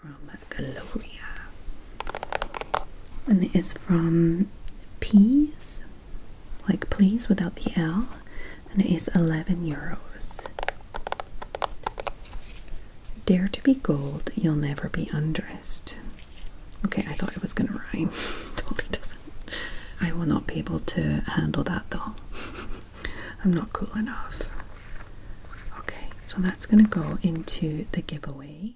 from Gloria and it is from Peas, like please without the L, and it is 11 euros. Dare to be gold, you'll never be undressed. Okay, I thought it was gonna rhyme. totally doesn't. I will not be able to handle that though. I'm not cool enough. Okay, so that's going to go into the giveaway.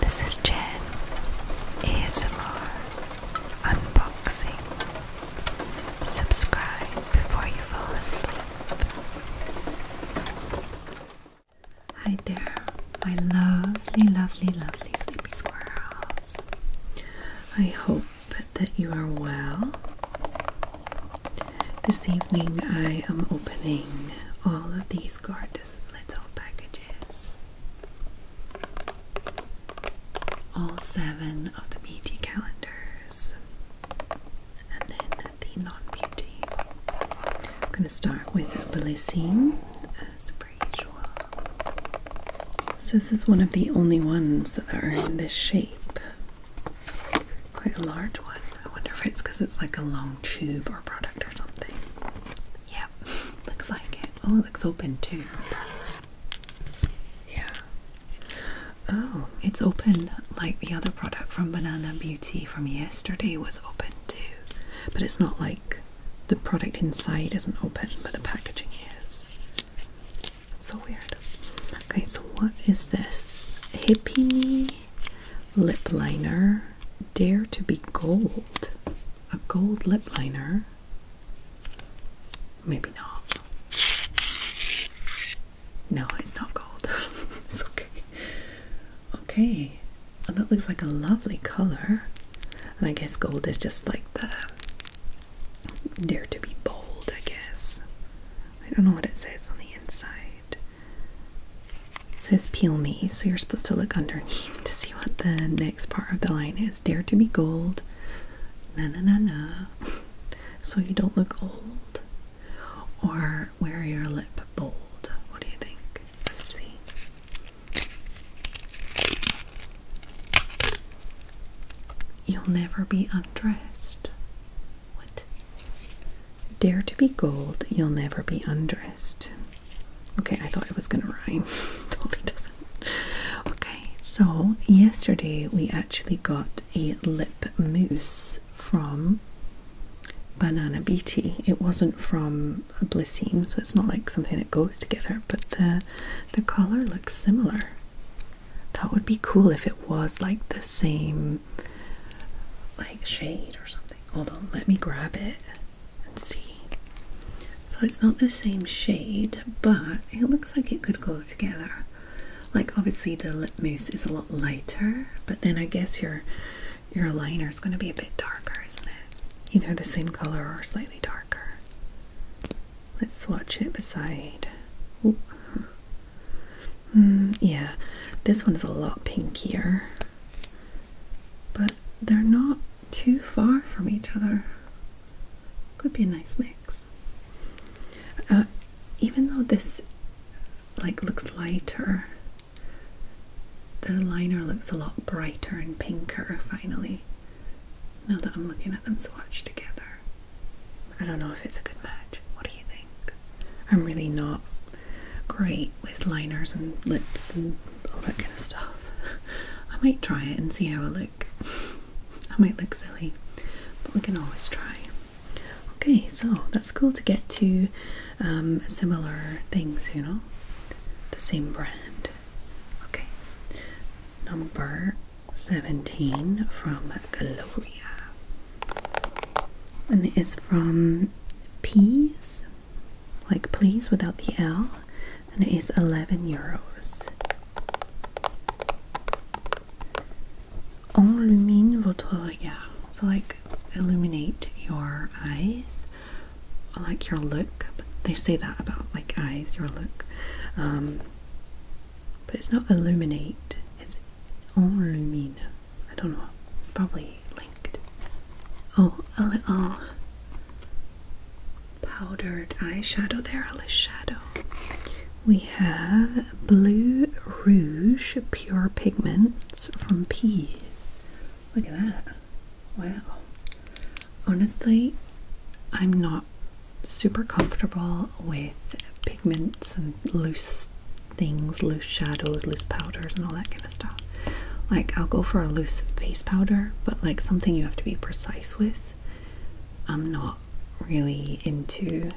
This is Jen ASMR Unboxing. Subscribe before you fall asleep. Hi there, my lovely, lovely, lovely sleepy squirrels. I hope that you are well. This evening I am opening all of these gorgeous little packages. All seven of the beauty calendars and then the non-beauty. I'm going to start with Blissine as usual. So this is one of the only ones that are in this shape. Quite a large one. I wonder if it's because it's like a long tube or product or something. Yep, looks like it. Oh, it looks open too. Yeah. Oh, it's open like the other product from Banana Beauty from yesterday was open too. But it's not like the product inside isn't open, but the packaging is. so weird. Okay, so what is this? Hippie Me Lip Liner Dare to be Gold. A gold lip liner? Maybe not. No, it's not gold. it's okay. Okay, oh, that looks like a lovely color. And I guess gold is just like the dare to be bold, I guess. I don't know what it says on the inside. It says peel me, so you're supposed to look underneath to see what the next part of the line is. Dare to be gold. Na na na na. So you don't look old. Or wear your lip bold. What do you think? Let's see. You'll never be undressed. What? Dare to be gold, you'll never be undressed. Okay, I thought it was gonna rhyme. totally doesn't. Okay, so yesterday we actually got a lip mousse from Banana Beauty. It wasn't from Blissim, so it's not like something that goes together, but the the colour looks similar. That would be cool if it was like the same like shade or something. Hold on, let me grab it and see. So it's not the same shade, but it looks like it could go together. Like obviously the lip mousse is a lot lighter, but then I guess your your liner is going to be a bit darker, isn't it? Either the same color or slightly darker. Let's swatch it beside. Mm, yeah, this one is a lot pinkier, but they're not too far from each other. Could be a nice mix. Uh, even though this like looks lighter, the liner looks a lot brighter and pinker finally. Now that I'm looking at them swatched together. I don't know if it's a good match. What do you think? I'm really not great with liners and lips and all that kind of stuff. I might try it and see how I look. I might look silly, but we can always try. Okay, so that's cool to get two um, similar things, you know, the same brand. Okay, number 17 from Gloria and it is from Peas, like please without the L, and it is 11 euros. Enlumine votre regard. So, like, illuminate your eyes, like your look. they say that about like eyes, your look. Um, but it's not illuminate, it's oh, illumine. I don't know, it's probably linked. Oh, a little powdered eyeshadow there, a little shadow. We have Blue Rouge Pure Pigments from Peas. Look at that. Wow. Honestly, I'm not super comfortable with pigments and loose things, loose shadows, loose powders, and all that kind of stuff. Like, I'll go for a loose face powder, but like something you have to be precise with. I'm not really into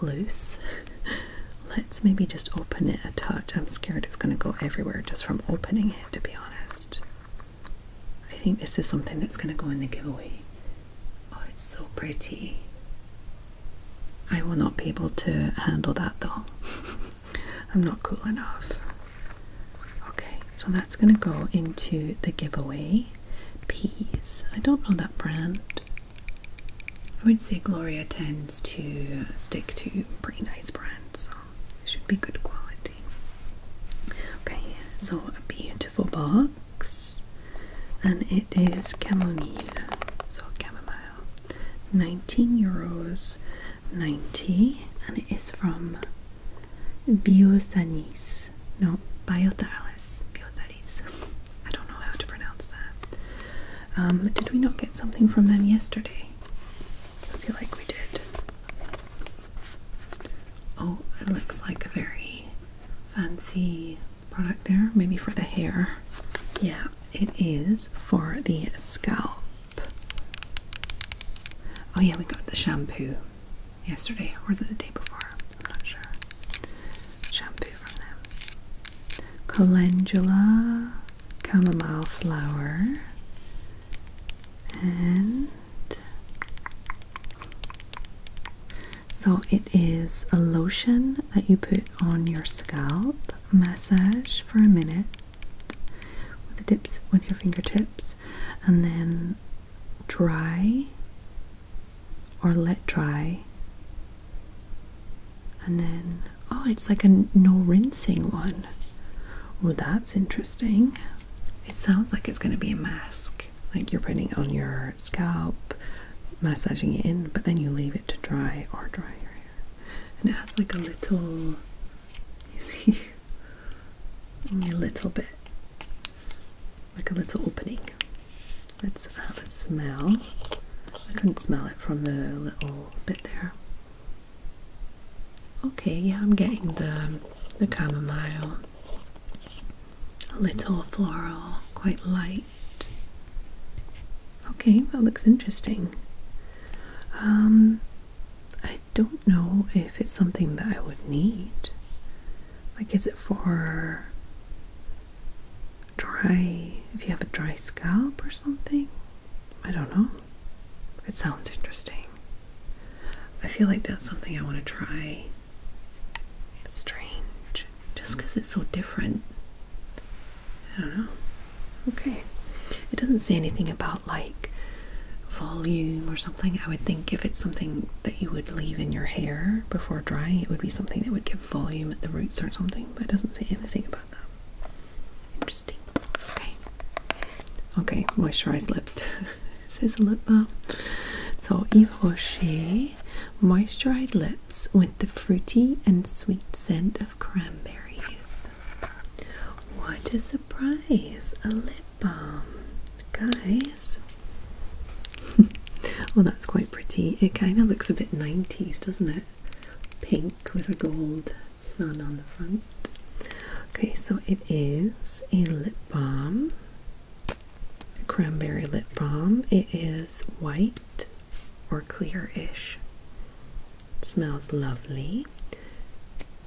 loose. Let's maybe just open it a touch. I'm scared it's going to go everywhere just from opening it, to be honest. I think this is something that's going to go in the giveaway. Oh, it's so pretty. I will not be able to handle that though. I'm not cool enough. Okay, so that's going to go into the giveaway. Peas. I don't know that brand. I would say Gloria tends to stick to pretty nice brands, so it should be good quality. Okay, so a beautiful box and it is chamomile so chamomile 19 euros 90 and it is from Biothanis no Biothalis Biothalis I don't know how to pronounce that um, did we not get something from them yesterday I feel like we did oh it looks like very fancy product there, maybe for the hair. Yeah, it is for the scalp. Oh, yeah, we got the shampoo yesterday, or was it the day before? I'm not sure. Shampoo from them. Calendula, chamomile flower, and so it is a lotion that you put on your scalp, massage for a minute with your fingertips, and then dry or let dry. And then oh, it's like a no rinsing one. Well, that's interesting. It sounds like it's going to be a mask, like you're putting on your scalp massaging it in, but then you leave it to dry or dry your hair. And it has like a little, you see, only a little bit, like a little opening. Let's have a smell. I couldn't smell it from the little bit there. Okay, yeah, I'm getting the the chamomile a little floral, quite light. Okay, that looks interesting. Um, I don't know if it's something that I would need. Like, is it for dry, if you have a dry scalp or something? I don't know. It sounds interesting. I feel like that's something I want to try it's strange. Just because it's so different. I don't know. Okay. It doesn't say anything about like volume or something. I would think if it's something that you would leave in your hair before drying, it would be something that would give volume at the roots or something, but it doesn't say anything about that. Interesting. Okay. Okay, moisturized lips. this is a lip balm. So Yves Rocher moisturized lip with the fruity and sweet scent of cranberries. What a surprise! A lip balm. Guys. well, that's quite pretty. It kind of looks a bit 90s, doesn't it? Pink with a gold sun on the front. Okay, so it is a lip balm cranberry lip balm. It is white or clearish. Smells lovely.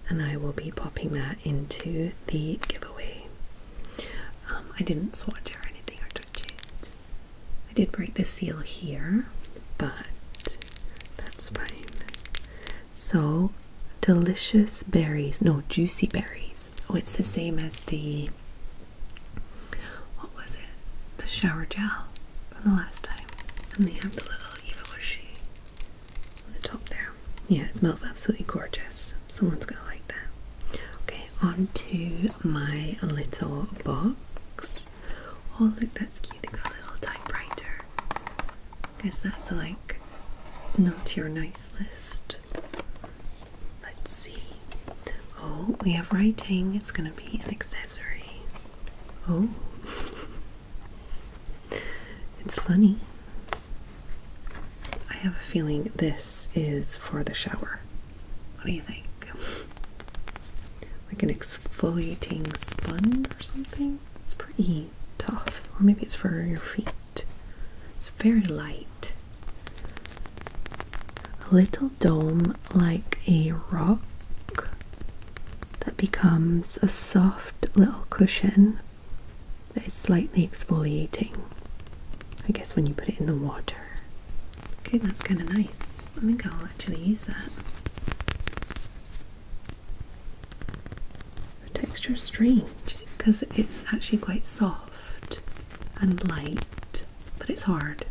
And I will be popping that into the giveaway. Um, I didn't swatch or anything or touch it. I did break the seal here, but that's fine. So, delicious berries. No, juicy berries. Oh, it's the same as the what was it? The shower gel from the last time. And they have the little Eva Washi on the top there. Yeah, it smells absolutely gorgeous. Someone's gonna like that. Okay, on to my little box. Oh look, that's cute. They've got a little typewriter. Guess that's like not your nice list Let's see. Oh, we have writing. It's going to be an accessory. Oh. it's funny. I have a feeling this is for the shower. What do you think? Like an exfoliating sponge or something? It's pretty tough. Or maybe it's for your feet. It's very light a little dome like a rock that becomes a soft little cushion that is slightly exfoliating. I guess when you put it in the water. Okay, that's kind of nice. I think I'll actually use that. The texture is strange because it's actually quite soft and light, but it's hard.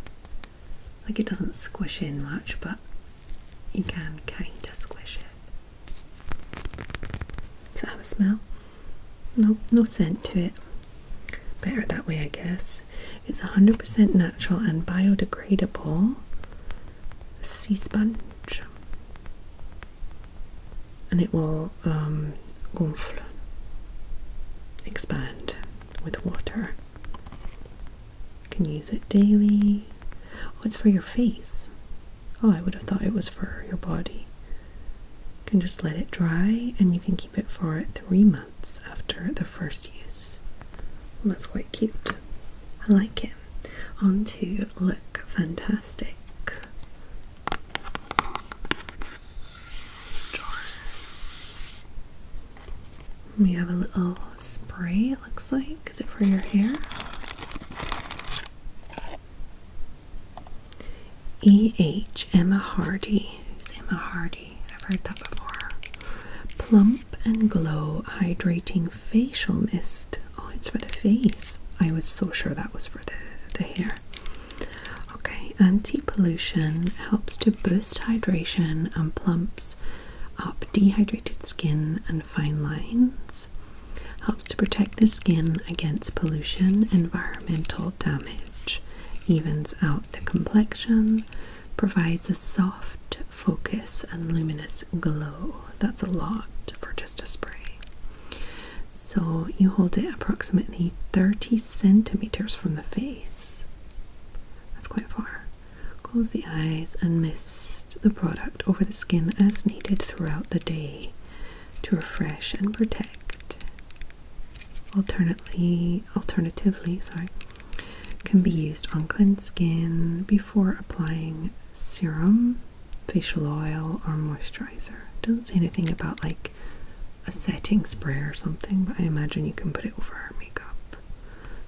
Like it doesn't squish in much, but you can kind of squish it. Does it have a smell? No, no scent to it. Better that way, I guess. It's 100% natural and biodegradable. Sea sponge, and it will um, gonfle, expand with water. You can use it daily. Oh, it's for your face. Oh, I would have thought it was for your body. You can just let it dry and you can keep it for three months after the first use. that's quite cute. I like it. On to Look Fantastic. We have a little spray, it looks like. Is it for your hair? E.H. Emma Hardy. Who's Emma Hardy? I've heard that before. Plump and Glow Hydrating Facial Mist. Oh, it's for the face. I was so sure that was for the, the hair. Okay, anti pollution helps to boost hydration and plumps up dehydrated skin and fine lines. Helps to protect the skin against pollution, environmental damage, evens out the complexion, provides a soft focus and luminous glow. That's a lot for just a spray. So you hold it approximately 30 centimeters from the face. That's quite far. Close the eyes and mist the product over the skin as needed throughout the day to refresh and protect. Alternately, alternatively, sorry, can be used on clean skin before applying serum, facial oil, or moisturizer. Doesn't say anything about like a setting spray or something, but I imagine you can put it over our makeup.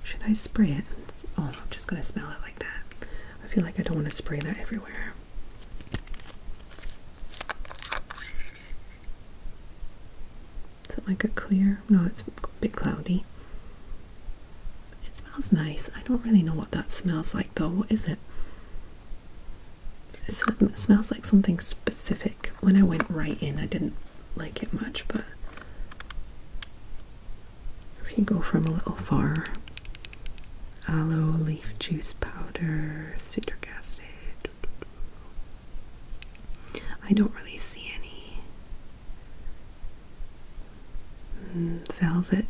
Should I spray it? Oh, I'm just gonna smell it like that. I feel like I don't want to spray that everywhere. Is it like a clear? No, it's a bit cloudy. It smells nice. I don't really know what that smells like though. What is it? it smells like something specific. When I went right in, I didn't like it much, but if you go from a little far, aloe leaf juice powder, citric acid. I don't really see any mm, velvet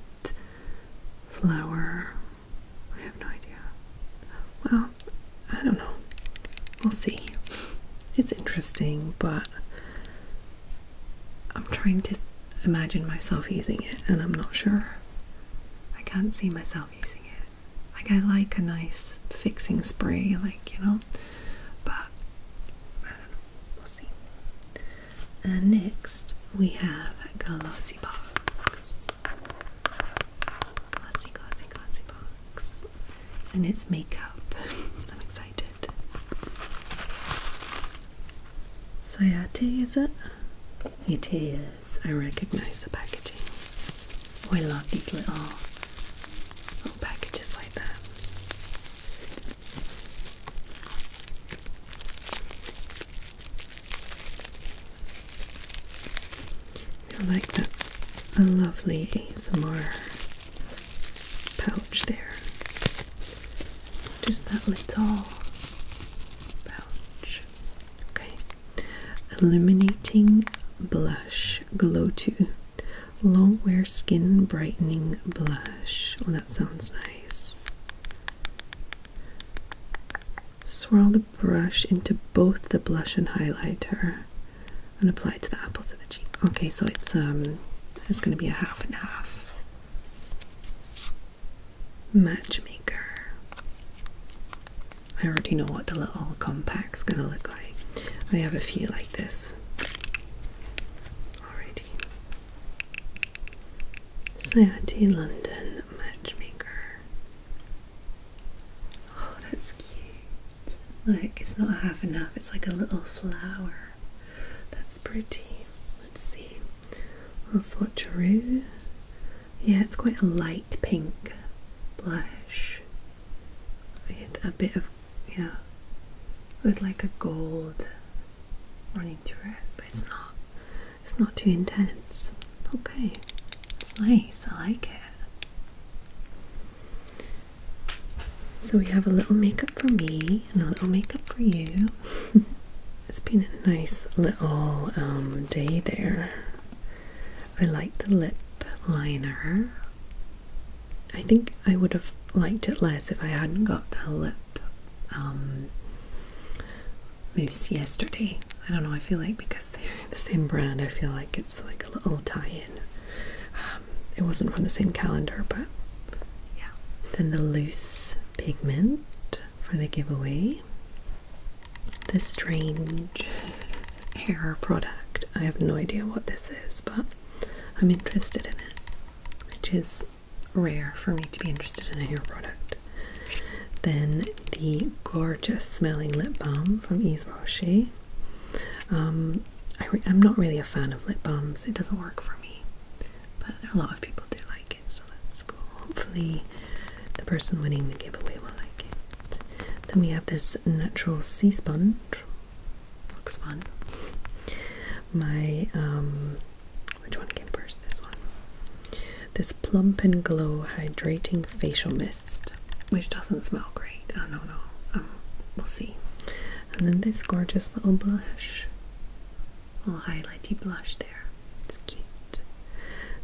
flower. I have no idea. Wow, I don't know. We'll see. It's interesting, but I'm trying to imagine myself using it, and I'm not sure. I can't see myself using it. Like, I like a nice fixing spray, like, you know, but I don't know. We'll see. And next, we have Glossy Box. Glossy, glossy, glossy box. And it's makeup. I'm excited. Sayate, is it? It is. I recognize the packaging. Oh, I love these little, little packages like that. I feel like that's a lovely ASMR pouch there. Just that little pouch. Okay. Illuminating Blush Glow to Long wear skin brightening blush. Oh, that sounds nice. Swirl the brush into both the blush and highlighter and apply it to the apples of the cheek. Okay, so it's um it's gonna be a half and half. Matchmaker. I already know what the little compact's gonna look like. I have a few like this already. Sayati London Matchmaker. Oh, that's cute. Like, it's not half and half, it's like a little flower. That's pretty. Let's see. I'll swatch a rue. Yeah, it's quite a light pink blush with a bit of, yeah, with like a gold running through it, but it's not, it's not too intense. Okay, it's nice, I like it. So we have a little makeup for me and a little makeup for you. it's been a nice little um, day there. I like the lip liner. I think I would have liked it less if I hadn't got the lip um, mousse yesterday. I don't know, I feel like because they're the same brand, I feel like it's like little tie-in. Um, it wasn't from the same calendar, but yeah. Then the loose pigment for the giveaway. This strange hair product. I have no idea what this is, but I'm interested in it, which is rare for me to be interested in a hair product. Then the gorgeous smelling lip balm from Yves Rocher. Um, I am not really a fan of lip balms, it doesn't work for me, but a lot of people do like it, so that's cool. Hopefully, the person winning the giveaway will like it. Then we have this natural sea sponge, looks fun. My, um, which one came first? This one. This Plump and Glow Hydrating Facial Mist which doesn't smell great. Oh no no. we'll see. And then this gorgeous little blush, little highlighty blush there. It's cute.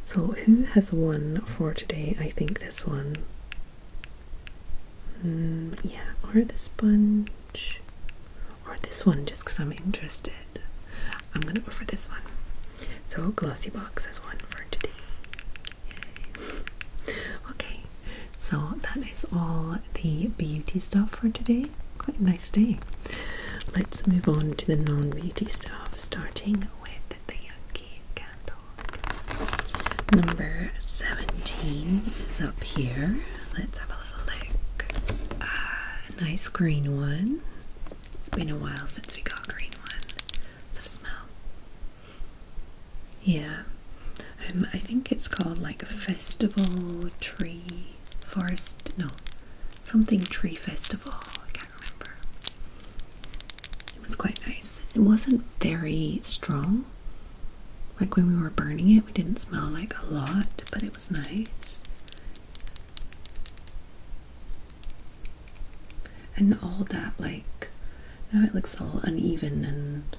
So who has one for today? I think this one. Mm, yeah, or the sponge, or this one, just because I'm interested. I'm gonna go for this one. So Glossy Box has one for today okay, so that is all the beauty stuff for today. Quite a nice day. Let's move on to the non beauty stuff, starting with the Yankee candle. Number 17 is up here. Let's have a little look. Ah, nice green one. It's been a while since we got green one. Let's smell. Yeah, um, I think it's called like a festival tree forest. No, something tree festival. I can't remember. It was quite nice. It wasn't very strong. Like when we were burning it, we didn't smell like a lot, but it was nice and all that like now it looks all uneven and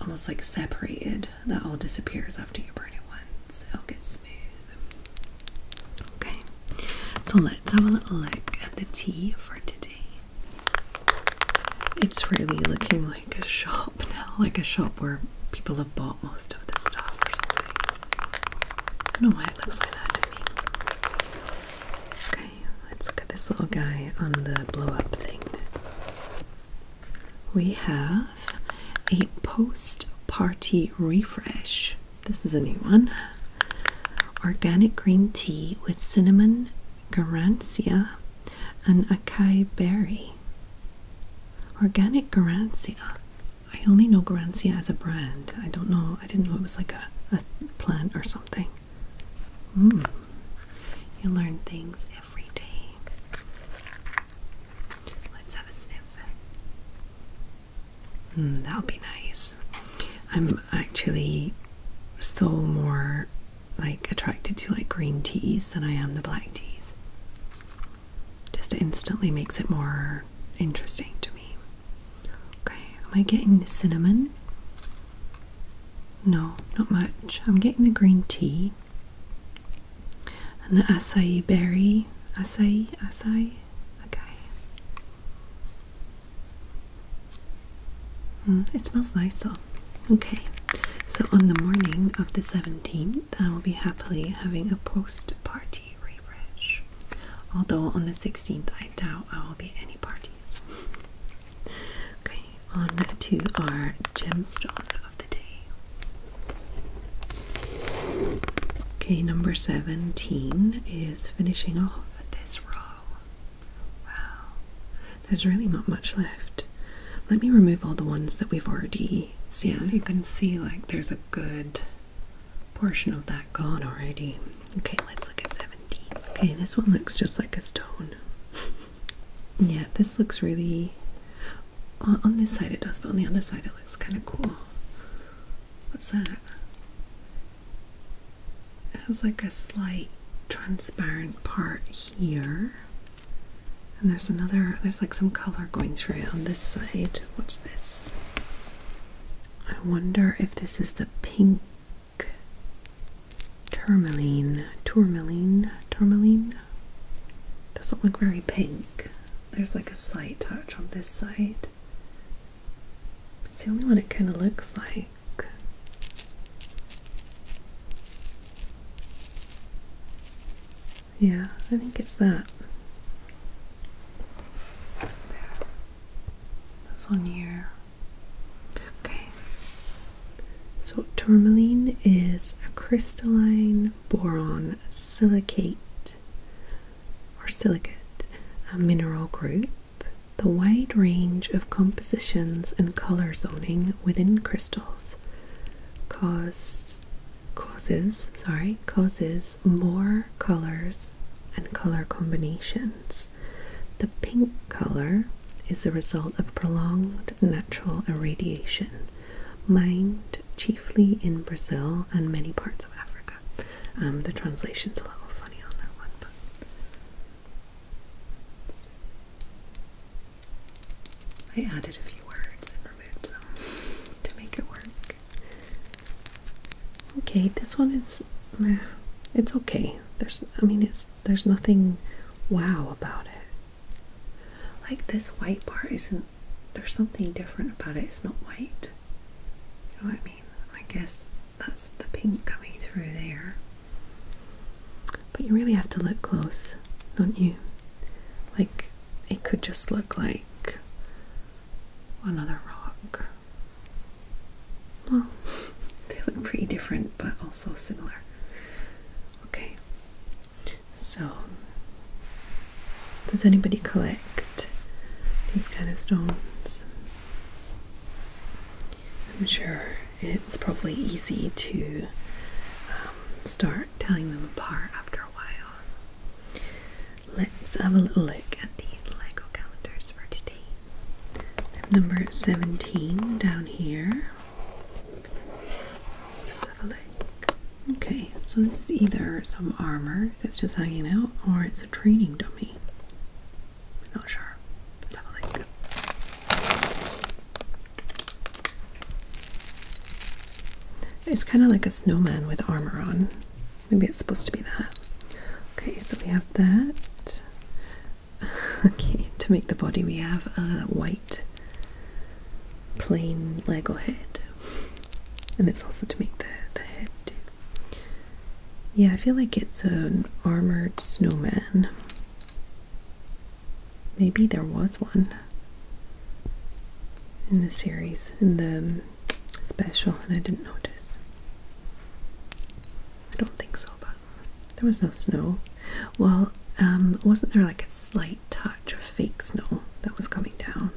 almost like separated that all disappears after you burn it once it'll get smooth okay so let's have a little look at the tea for today it's really looking like a shop now like a shop where people have bought most of the stuff or something I don't know why it looks like that to me. Okay. Let's look at this little guy on the blow up thing. We have a post party refresh. This is a new one. Organic green tea with cinnamon, garancia, and acai berry. Organic garancia. I only know garancia as a brand. I don't know. I didn't know it was like a, a plant or something. Mm. You learn things every day. Let's have a sniff. Mm, that'll be nice. I'm actually still more like attracted to like green teas than I am the black teas. Just instantly makes it more interesting to me. Okay, am I getting the cinnamon? No, not much. I'm getting the green tea and the acai berry. Acai, acai, okay. Mm, it smells nice though. Okay, so on the morning of the 17th, I will be happily having a post party refresh. Although on the 16th, I doubt now I will be at any parties. okay, on to our gemstone of the day. Okay, number 17 is finishing off this row. Wow, there's really not much left. Let me remove all the ones that we've already seen. You can see, like, there's a good portion of that gone already. Okay, let's look at 17. Okay, this one looks just like a stone. yeah, this looks really. On, on this side it does, but on the other side it looks kind of cool. What's that? It has like a slight transparent part here. And there's another, there's like some color going through it on this side. What's this? I wonder if this is the pink Tourmaline, tourmaline, tourmaline. Doesn't look very pink. There's like a slight touch on this side. It's the only one it kind of looks like. Yeah, I think it's that. This one here. Okay. So tourmaline is a crystalline boron silicate or silicate, a mineral group. The wide range of compositions and color zoning within crystals cause, causes sorry causes more colors and color combinations. The pink color is the result of prolonged natural irradiation, mined chiefly in Brazil and many parts of Africa. Um, the translation's a little funny on that one, but. I added a few words and removed some to make it work. Okay, this one is. It's okay. There's I mean it's there's nothing wow about it. Like this white part isn't there's something different about it. It's not white. I mean? I guess that's the pink coming through there. But you really have to look close, don't you? Like it could just look like another rock. Well, they look pretty different, but also similar. Okay, so does anybody collect these kind of stones? I'm sure it's probably easy to um, start telling them apart after a while. Let's have a little look at the LEGO calendars for today number 17 down here. Okay, so this is either some armor that's just hanging out or it's a training dummy. not sure. Let's have a look. It's kind of like a snowman with armor on. Maybe it's supposed to be that. Okay, so we have that. okay, to make the body we have a white plain Lego head. And it's also to make the, head Yeah, I feel like it's an armored snowman. Maybe there was one in the series, in the special, and I didn't notice. I don't think so, but there was no snow. Well, um, wasn't there like a slight touch of fake snow that was coming down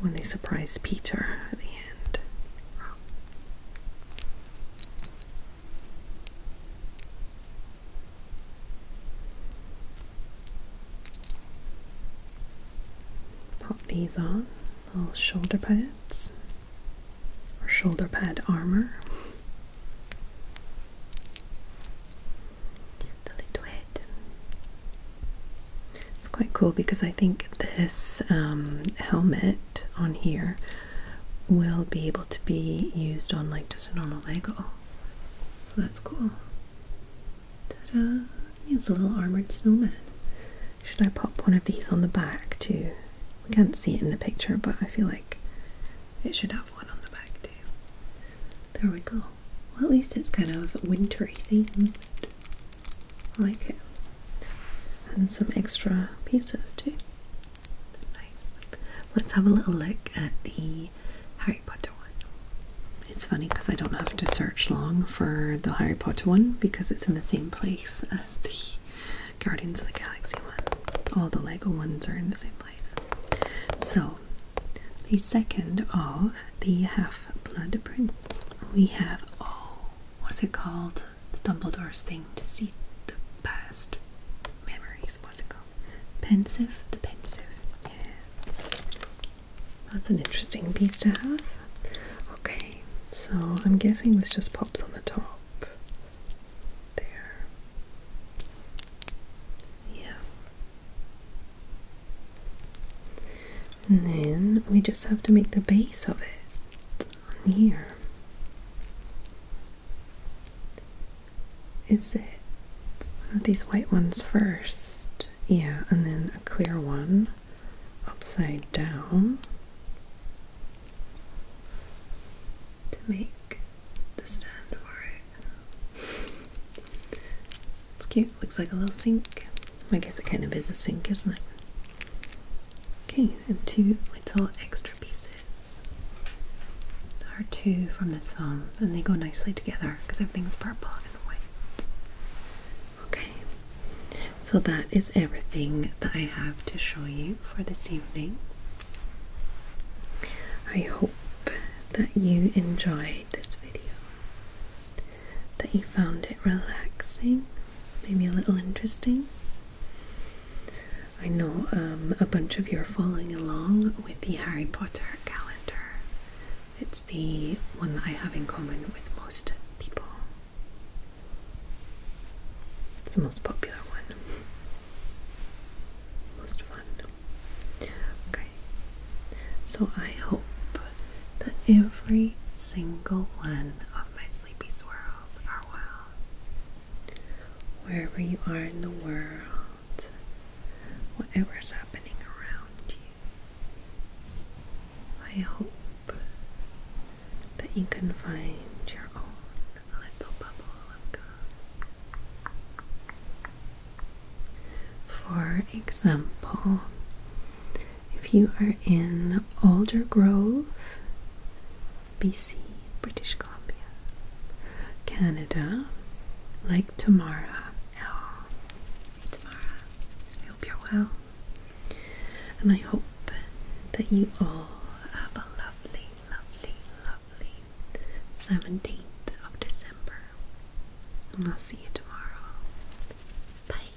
when they surprised Peter at the end? Oh. Pop these on little shoulder pads or shoulder pad armor. It's quite cool because I think this um, helmet on here will be able to be used on like just a normal Lego. So that's cool. He's a little armored snowman. Should I pop one of these on the back too? We can't see it in the picture, but I feel like it should have one on the back too. There we go. Well, at least it's kind of wintry themed. I like it. And some extra pieces too. Nice. Let's have a little look at the Harry Potter one. It's funny because I don't have to search long for the Harry Potter one because it's in the same place as the Guardians of the Galaxy one. All the Lego ones are in the same place. So, the second of the Half Blood Prince, we have oh, was it called? It's Dumbledore's thing to see the past memories. What's it called? Pensive, the pensive. Yeah. That's an interesting piece to have. Okay, so I'm guessing this just pops on the top. There. Yeah. And then we just have to make the base of it here. Is it these white ones first? Yeah, and then a clear one upside down to make the stand for it. It's cute, looks like a little sink. I guess it kind of is a sink, isn't it? Okay, and two little extra pieces. are two from this film, and they go nicely together because everything's purple and white. Okay, so that is everything that I have to show you for this evening. I hope that you enjoyed this video, that you found it relaxing, maybe a little interesting. I know um, a bunch of you are following along with the Harry Potter calendar. It's the one that I have in common with most people. It's the most popular one. Most fun. Okay. So I hope that every single one of my sleepy swirls are well. Wherever you are in the world, whatever's happening around you, I hope that you can find your own little bubble of God. For example, if you are in Alder Grove, BC, British Columbia, Canada, like Tamara. Oh, Tamara, I hope you're well. And I hope that you all have a lovely, lovely, lovely 17th of December. And I'll see you tomorrow. Bye.